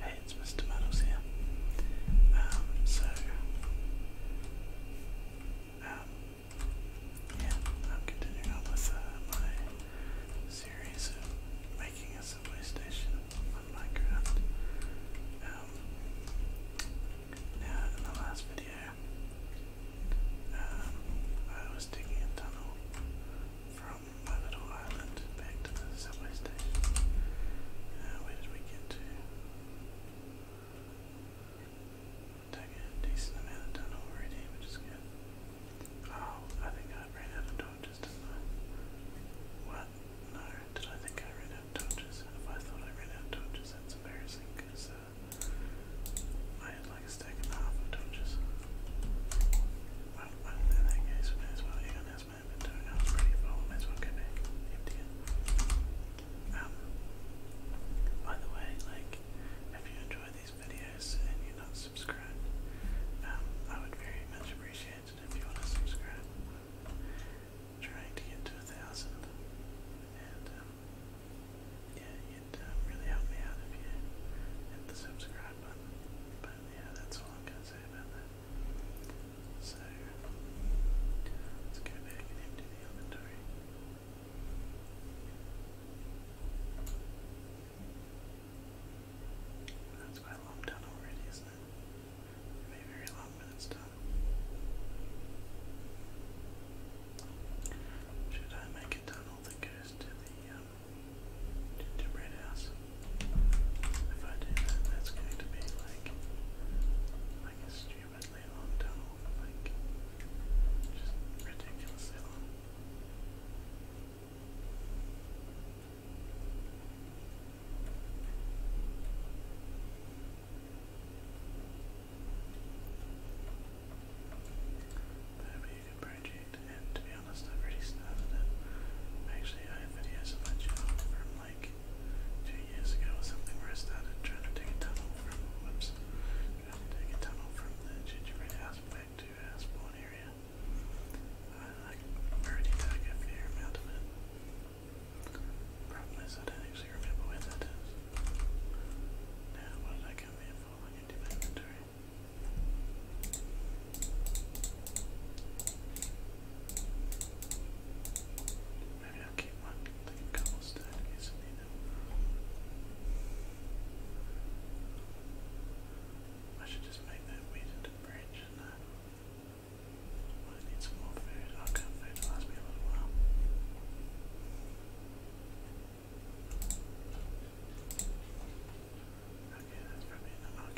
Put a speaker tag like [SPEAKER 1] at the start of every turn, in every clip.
[SPEAKER 1] Hey, it's Mr. Meadows here. Um, so, um, yeah, I'm continuing on with uh, my series of making a subway station on Minecraft. Um, now, in the last video, I was digging a tunnel from my little island back to the subway station. Uh, where did we get to? Took a decent amount of time already, which is good. Oh, I think I ran out of torches, did What? No, did I think I ran out of torches? If I thought I ran out of torches, that's embarrassing, because uh, I had like a stack and a half of torches. Well, in that case, we may as well, last um, by the way, like, if you enjoy these videos and you're not subscribed, um, I would very much appreciate it if you want to subscribe. trying to get to a thousand, and um, yeah, you really help me out if you hit the subscribe button. But yeah, that's all I'm gonna say about that. So let's go back and the inventory. That's quite a long done already, isn't it? it very long when it's done. Should I make a tunnel that goes to the um, Tomb Raider house. If I do that, that's going to be like, like a stupidly long like, just ridiculously long. But you can to be honest, I've already started it. Actually, I have videos on my channel from like two years ago or something where I started trying to dig a tunnel from, whoops, trying to dig a tunnel from the gingerbread house back to our spawn area. Uh, I've already dug a fair amount of it. Problem is, I don't actually remember where that is. Now, what did I come here for? I can do my inventory. Maybe I'll keep one. I should just make that weed into branch need some more food. I can't food will last me a little while. Okay, that's probably enough. I'll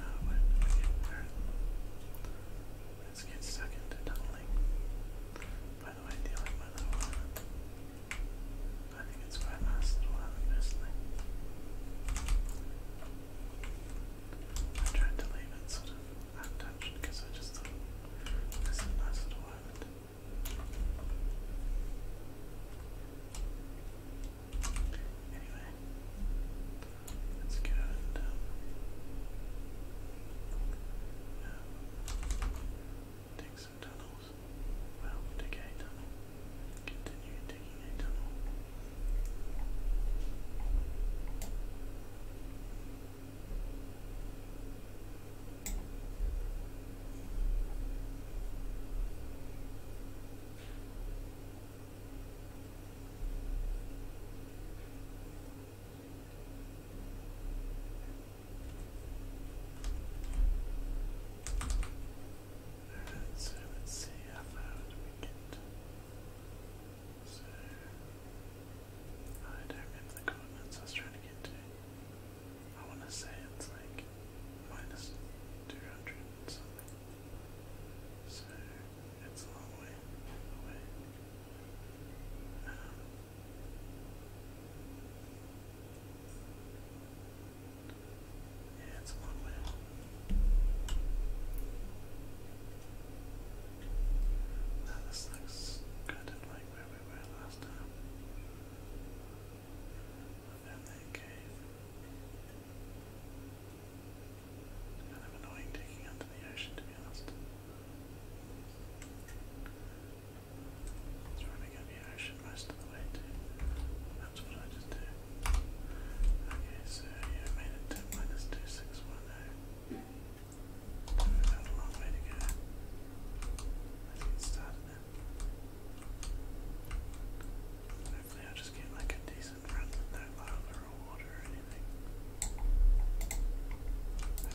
[SPEAKER 1] uh, Let's get stuck into tunneling. By the way, dealing with one. I think it's quite nice little one, personally. I tried to leave it sort of untouched because I just thought this is a nice little island. Anyway, let's go and dig some tunnels. Well, dig a tunnel. Continue digging a tunnel. So let's see how far do we get. So I don't remember the coordinates I was trying to get to. I wanna say it's like minus 200 something. So it's a long way um, yeah, it's a long way. Now this looks kind of like where we were last time within that kind of annoying taking out the ocean, to be honest. It's running out the ocean most of the way too. That's what I just do. Okay, so yeah, I made it to minus 2610. We've got a long way to go. Let's get but hopefully i just get like a decent run with lava or water or anything. That'd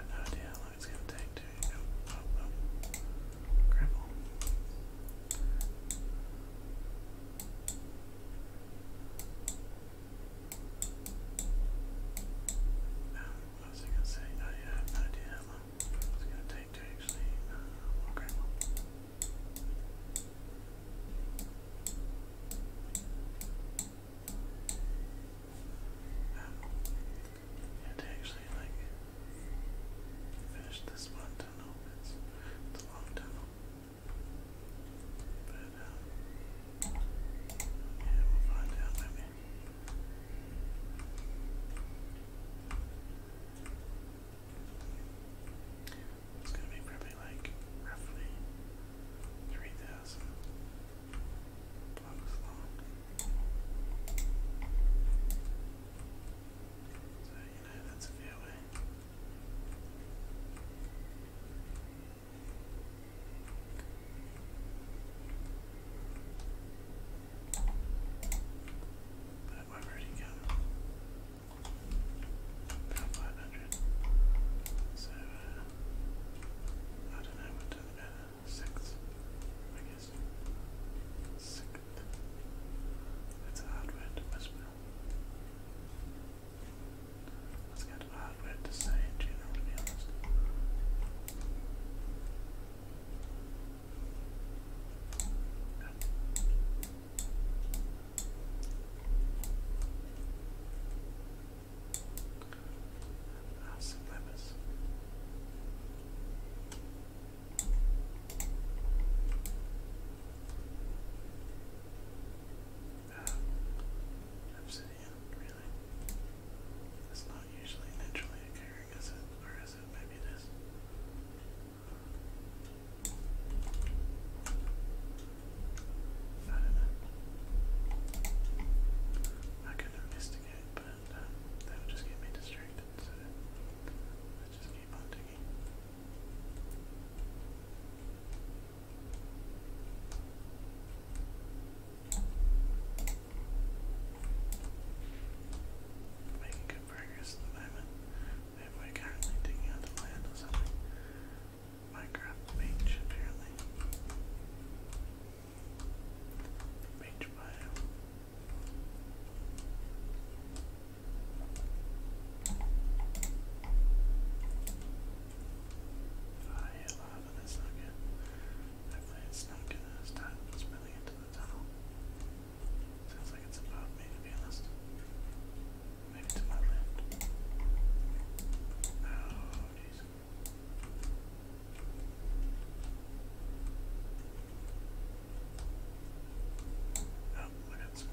[SPEAKER 1] I have no idea how long it's going to take to oh, oh, oh. Um, I gonna say, oh, I have no idea how long it's gonna take to actually uh, um, yeah, to actually like finish this one tunnel, it's, a long tunnel. But, It's gonna be probably like roughly 3,000 blocks long. So, you know, that's a fair way. But where About 500. So, uh, I don't know what uh, I guess. Sixth. That's hard to whisper. That's kind of a hard word to say in general, to be honest. Yeah. Ah, um, obsidian, really. It's not usually naturally occurring, is it? Or is it? Maybe it is. I don't know. I could investigate, but um, that would just get me distracted, so I just keep on digging. Making good progress at the moment. we're currently digging out the land or something. Minecraft beach, apparently. Beach biome. I hit lava, that's not good. Hopefully it's not gonna start spilling into the tunnel. Sounds like it's above me to be honest. Maybe to my left. Oh jeez. Oh, I got some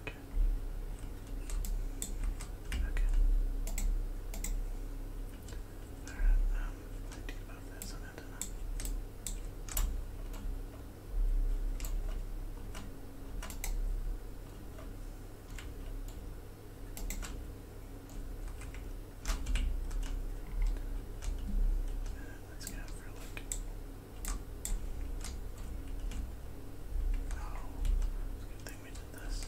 [SPEAKER 1] Okay. Okay. Alright, um, I need to move this and I don't know. And let's go for like it's a good thing we did this.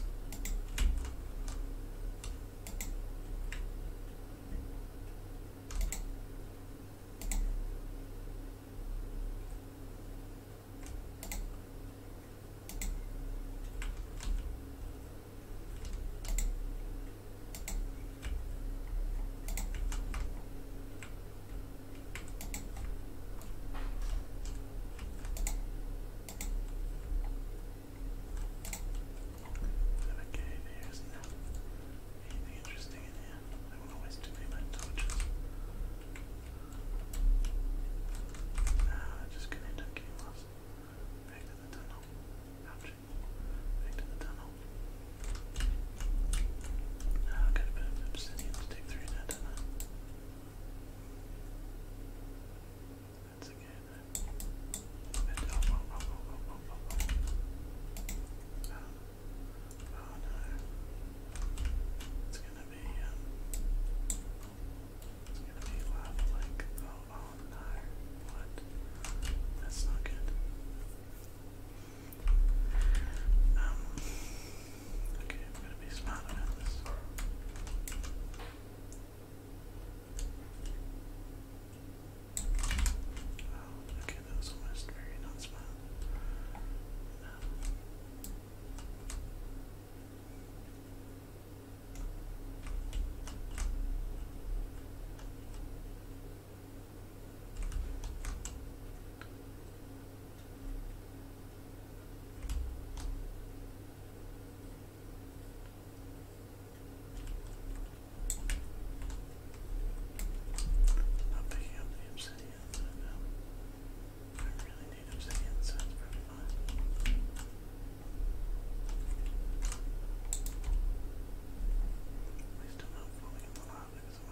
[SPEAKER 1] Okay, there's no interesting in here. I don't waste too many my torches. Nah, I'm just gonna Back to the tunnel. Ouch. Back to the tunnel. Oh, I got a bit of obsidian. Let's take three now, It's gonna be, um... It's gonna be lava like... Oh, oh no. What? That's not good. Um, okay, I'm gonna be smart about this. Oh, okay, that was almost very not smart. I'm picking up the obsidian, but um, I really need obsidian, so it's pretty fun. At least I'm not falling in the lava because i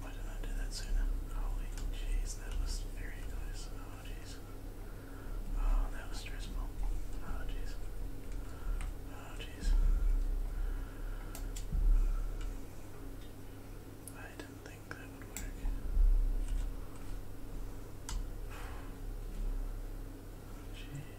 [SPEAKER 1] Why didn't I do that sooner? Holy jeez, that was very nice. Oh jeez. Oh, that was stressful. Oh jeez. Oh jeez. I didn't think that would work. Jeez.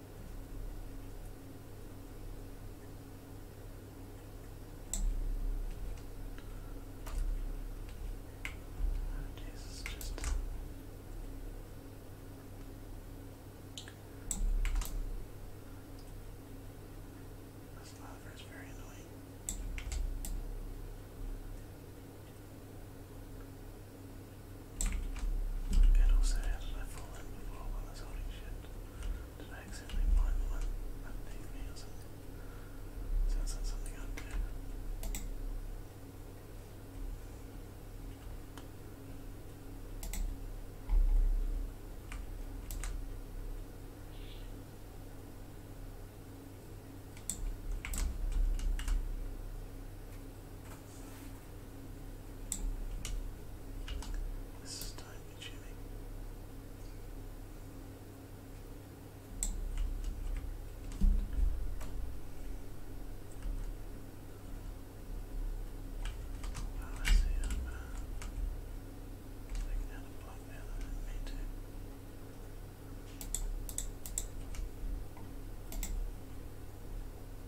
[SPEAKER 1] Oh, this is just this lather is very annoying. And also, how did I before while I was shit? Did I accidentally find the one Sounds like something i do. This is time Jimmy. Oh, ah, see, I'm uh, a block now that I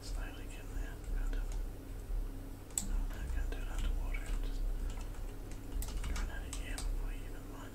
[SPEAKER 1] It's not like I'm gonna do it out Just run out of before you even line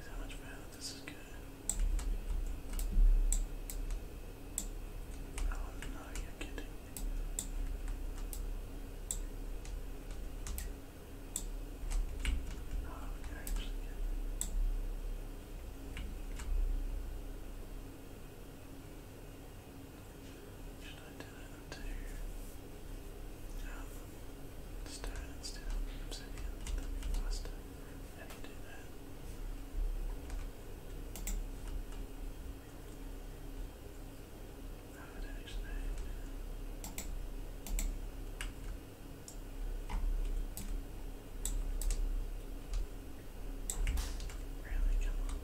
[SPEAKER 1] Is how much further this is going? Oh no, you're kidding. Oh, actually Should I do that to um, stone instead of obsidian, that'd be How do you do that? No, I do do that. Really, come on.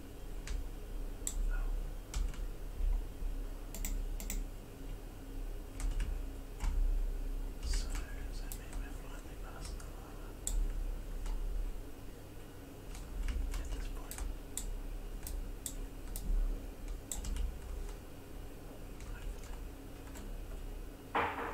[SPEAKER 1] So does that mean we're finally past the lava? At this point. Hopefully.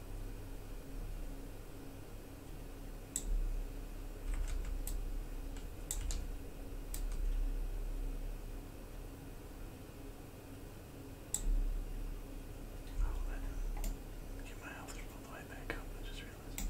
[SPEAKER 1] Oh, I get my health all the way back up, I just realized.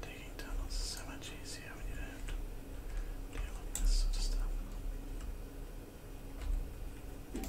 [SPEAKER 1] Digging tunnels so much easier when you have to deal this sort of stuff. Oh,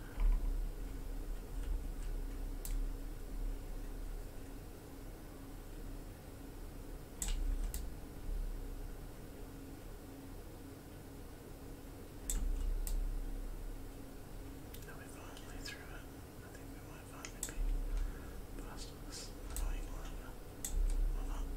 [SPEAKER 1] Are we finally through it? I think we might finally be past this annoying lava. Or not.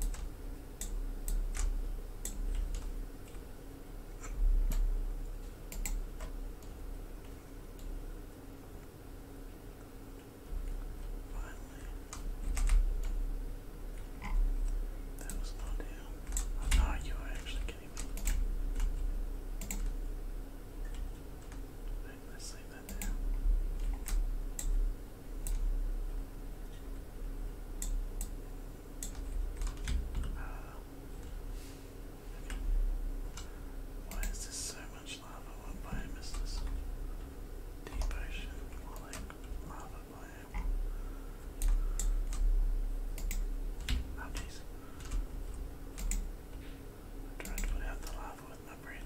[SPEAKER 1] Finally. That was not Oh, you are actually kidding let's leave that there. Why is there so much lava? What biome is this? Deep ocean, more Oh ah, jeez. I to put out the lava with my bread.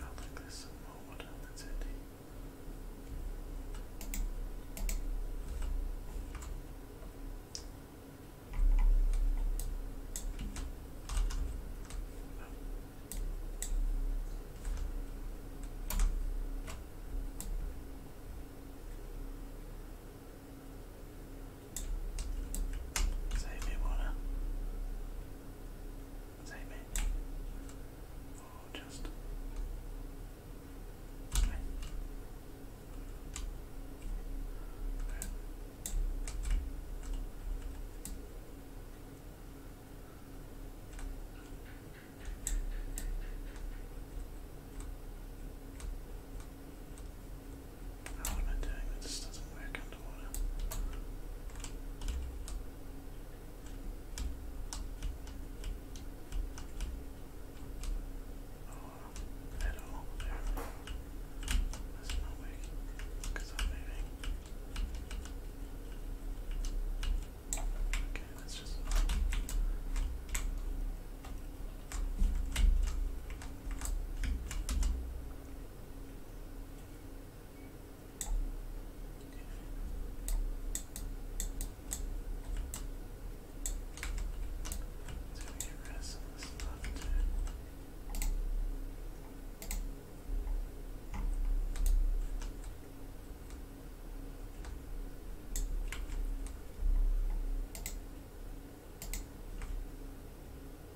[SPEAKER 1] I think there's some more water that's handy. Save me water same it, oh, just how am I doing that? This doesn't work underwater. Oh, at all, apparently. That's not working because I'm moving. Okay, that's just. Let's go get rid of some of this stuff too. Okay,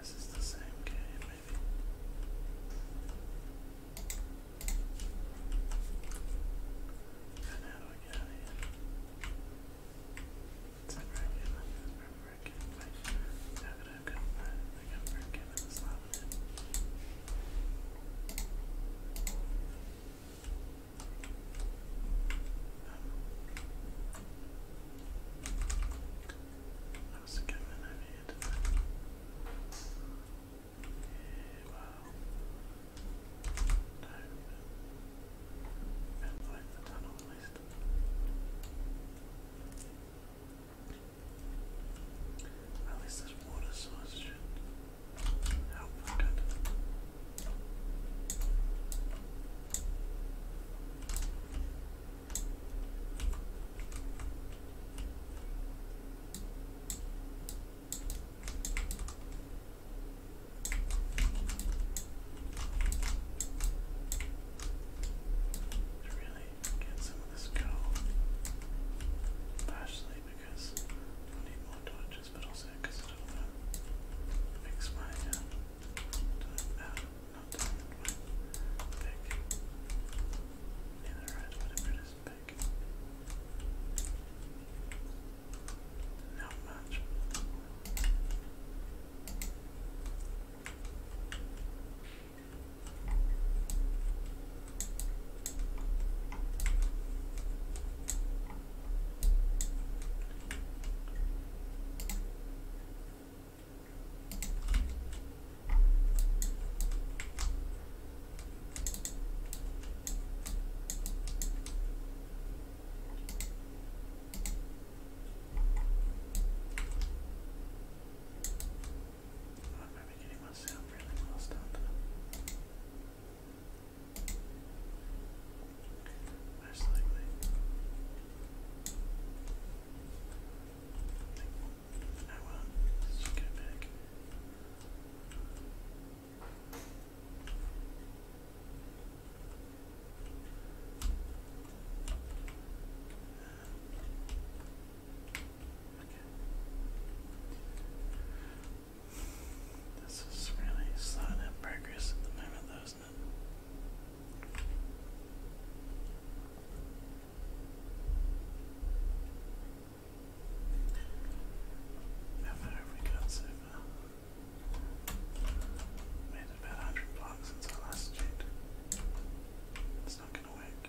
[SPEAKER 1] This is the same game, maybe. And how I get out of here? It's not very good. I have gotten that? I got very good. That's not that was a here, didn't Yeah, well. No. Meant like the tunnel at least. At least this water source should help to really get some of this gold, partially because we need more torches this, but also because I don't want uh, to fix not diamond, my pick. Either red, whatever it is, pick. Not much. I'm getting myself really lost out there. Most likely. Oh well, let's just go back. Um, okay. This is really slow down progress at the moment, isn't it? How far have we got so far? We had about 100 blocks since I last checked. It's not going to work.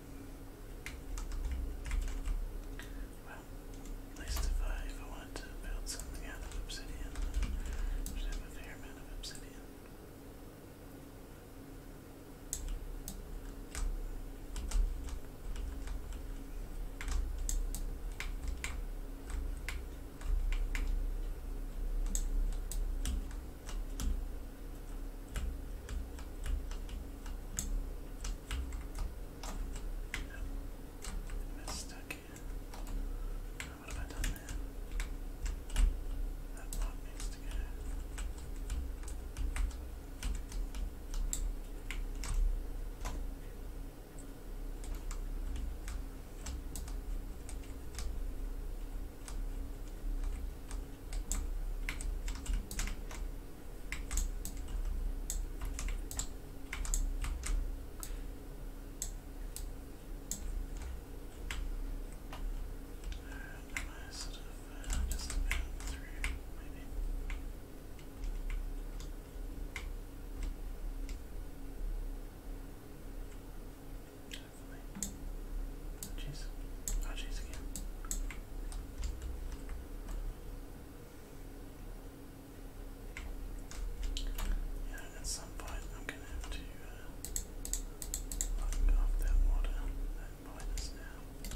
[SPEAKER 1] Well, at least if I, if I to build something out of obsidian, I should have a fair amount of obsidian. That's stuck here. Oh, what have I done there? That block needs to go. There and I sort of uh, just about through, maybe. Hopefully. Jeez. Oh, jeez again. Yeah, at some point I'm going to have to uh, lock off that water, that minus now.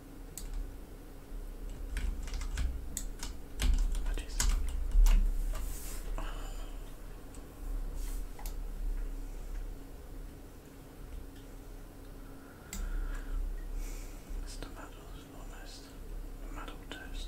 [SPEAKER 1] Oh, jeez. almost tomato toast.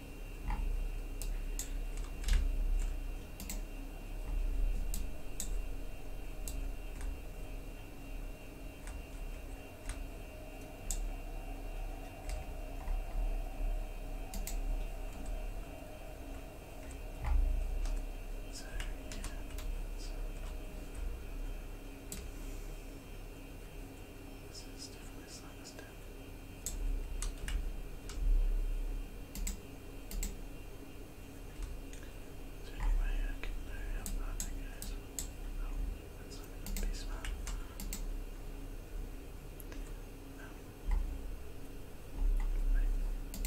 [SPEAKER 1] So, yeah, so this is definitely slowing us down. Is there any way I can hurry up on that guy's one? No, that's not gonna be smart. No. Right. Alright,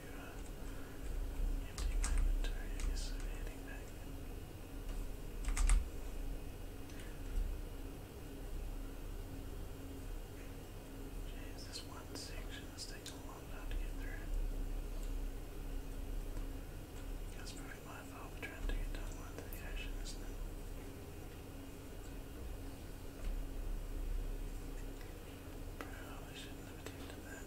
[SPEAKER 1] empty my one section is taking a long time to get through. That's probably my fault for trying to get down onto the isn't it? Probably shouldn't have attempted that.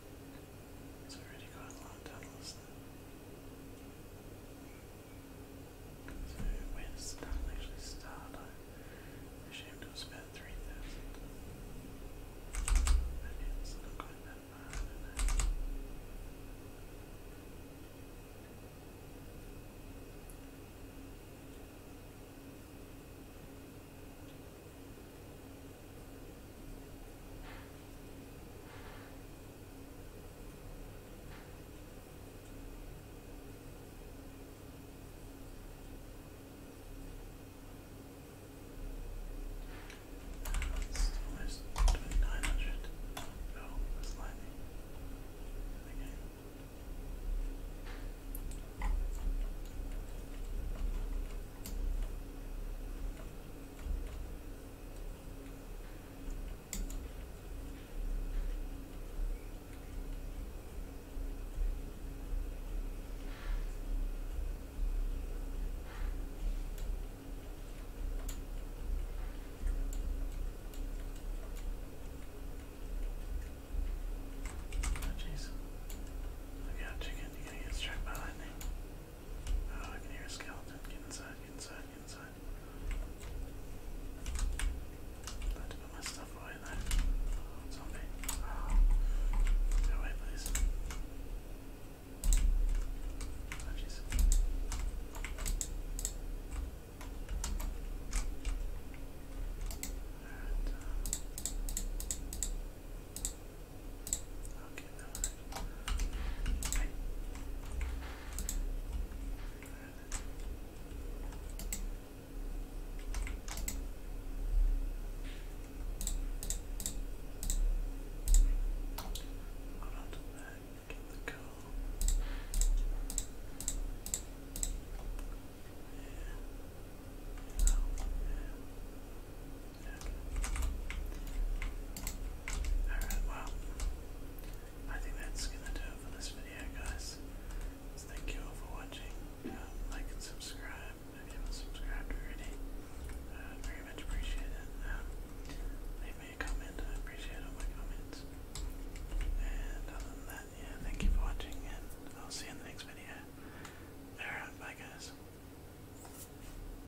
[SPEAKER 1] It's already got a lot done, So where does the tunnel actually start? I'm ashamed it was about 3,000. Maybe it's going that far, I that's almost 2900. No, that's lightning. Again. Oh jeez. Look out, chicken. you get struck by lightning. I can hear a skeleton. Get inside, get inside, get inside. I to put my stuff away there. zombie. Go away, please. Oh, Okay, no. Right. Hold on to that, get the go. Yeah. Oh, yeah. Alright, well, I think that's going to do it for this video, guys. thank you all for watching. Um, like and subscribe if you haven't subscribed already. Uh, very much appreciate um, leave me a comment, I appreciate all my comments. And other than that, yeah, thank you for watching, and I'll see you in the next video. Alright, bye guys.